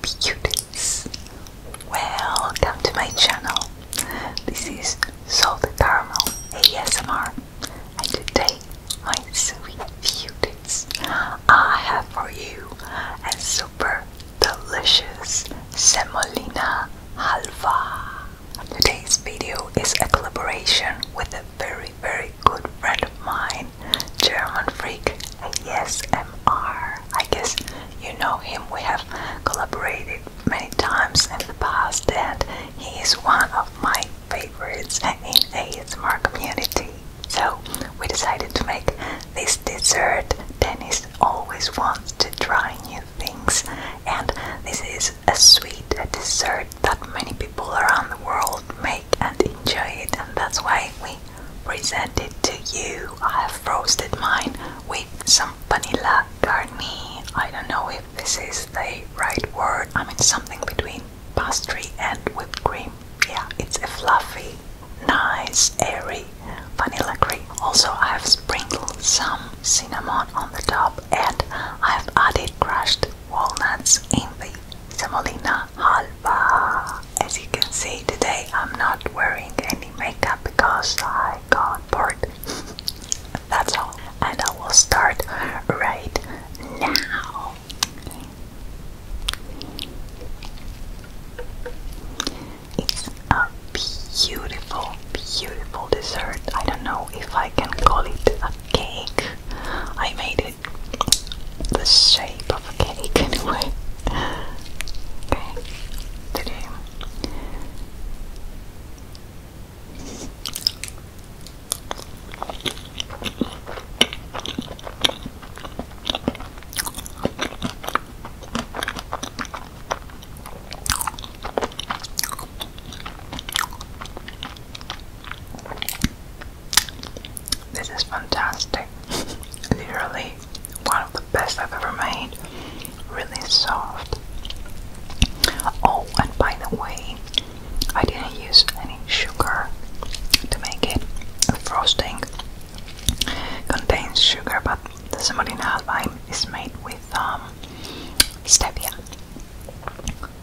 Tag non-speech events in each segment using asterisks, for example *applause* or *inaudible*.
beauties welcome to my channel this is salted caramel asmr and today my sweet beauties i have for you a super delicious semolina halva today's video is a collaboration with a very very good friend of mine by German Freak ASMR. I guess you know him, we have collaborated many times in the past, and he is one of my favorites in ASMR community. So we decided to make this dessert. Dennis always wants to try new things, and this is a sweet dessert that many people around the world make and enjoy it, and that's why we present it to you. I have roasted mine with some vanilla cream. I don't know if this is the right word. I mean, something between pastry and whipped cream. Yeah, it's a fluffy, nice, airy vanilla cream. Also, I have sprinkled some cinnamon on the top, and I have added crushed walnuts in the semolina halva. As you can see today I'm not wearing any makeup because I got bored. *laughs* That's all. And I will start right now. It's a beautiful, beautiful dessert. I don't know if I can call it a cake. I made the shape of a cake, anyway. Okay, today. This is fantastic. Literally one of the best I've ever made. Really soft. Oh, and by the way, I didn't use any sugar to make it. The frosting contains sugar, but the semolina halvaim is made with um, stevia.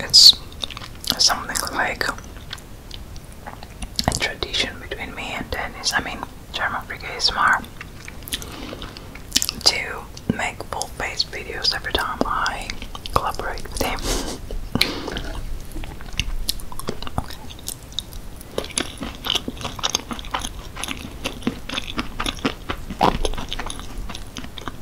It's something like a tradition between me and Dennis. I mean, German is Brigismar to make full face videos every time I collaborate with him.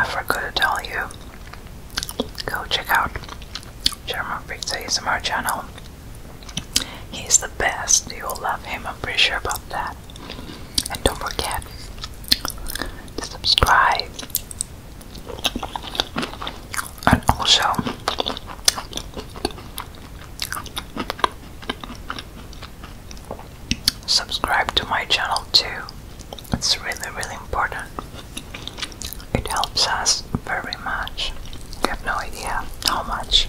I forgot to tell you. Go check out German Pizza our channel. He's the best. You'll love him. I'm pretty sure about that. And don't forget to subscribe. And also, subscribe to my channel too. It's really, really important. It helps us very much. You have no idea how much.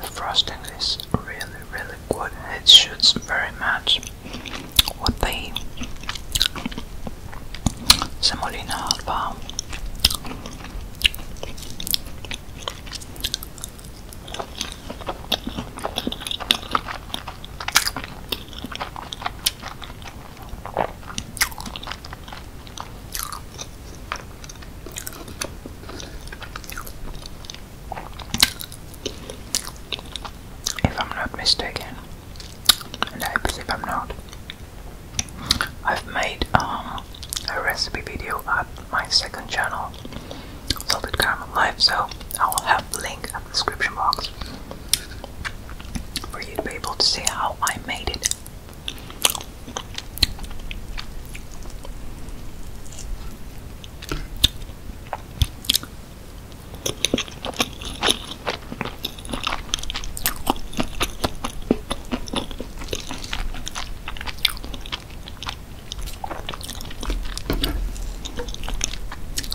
The frosting is really, really good. It shoots very much with the semolina alba if I'm not mistaken, and I believe I'm not, I've made um, a recipe video at my second channel, Salted Caramel Live, so I'll have link at the description box for you to be able to see how I made it.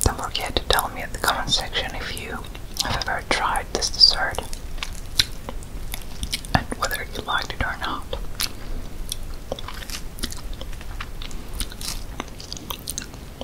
Don't forget to tell me in the comment section if you have ever tried this dessert and whether you liked it or not.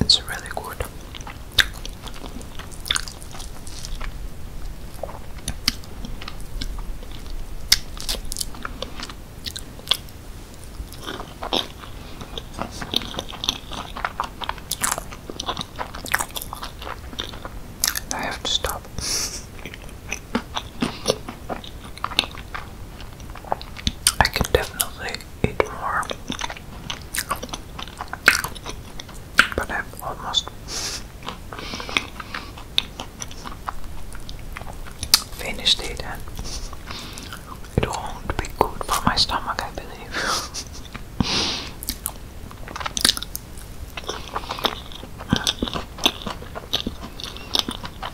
It's really good. I have to stop. *laughs* I can definitely eat more, but I've almost finished it, and it won't be good for my stomach, I believe. *laughs*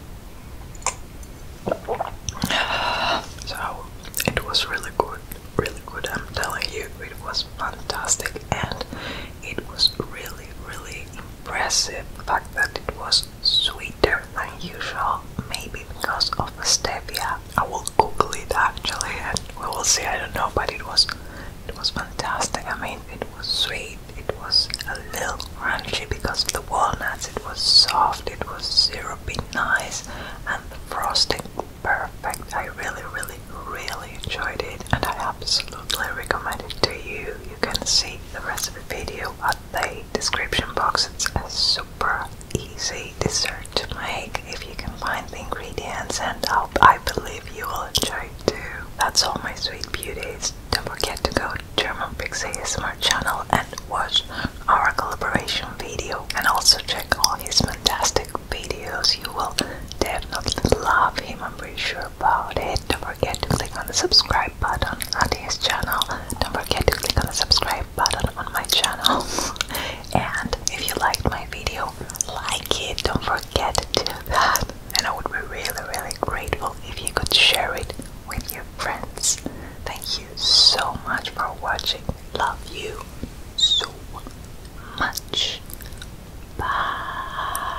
So it was really good, really good. I'm telling you, it was fantastic, and it was really, really impressive. The fact that it was sweeter than usual, maybe because of the stevia. I will Google it actually, and we will see. I don't know, but it was, it was fantastic. I mean, it was sweet, it was a little crunchy because of the walnuts. It was soft, it was syrupy, nice, and the frosting perfect. I really, really, really enjoyed it, and I absolutely recommend it to you. You can see the recipe video at the description box. It's a super easy dessert to make if you can find the ingredients, and i believe you will enjoy too. That's all, my sweet beauties. Don't forget to go to German Pixie ASMR channel and watch our collaboration video and also check all his fantastic videos. You will definitely love him, I'm pretty sure about it. Don't forget to click on the subscribe button on his channel. Don't forget to click on the subscribe button on my channel. *laughs* and if you liked my video, like it. Don't forget to do that and I would be really, really grateful if you could share it with your friends. Thank you so much for watching. Love you so much. Bye.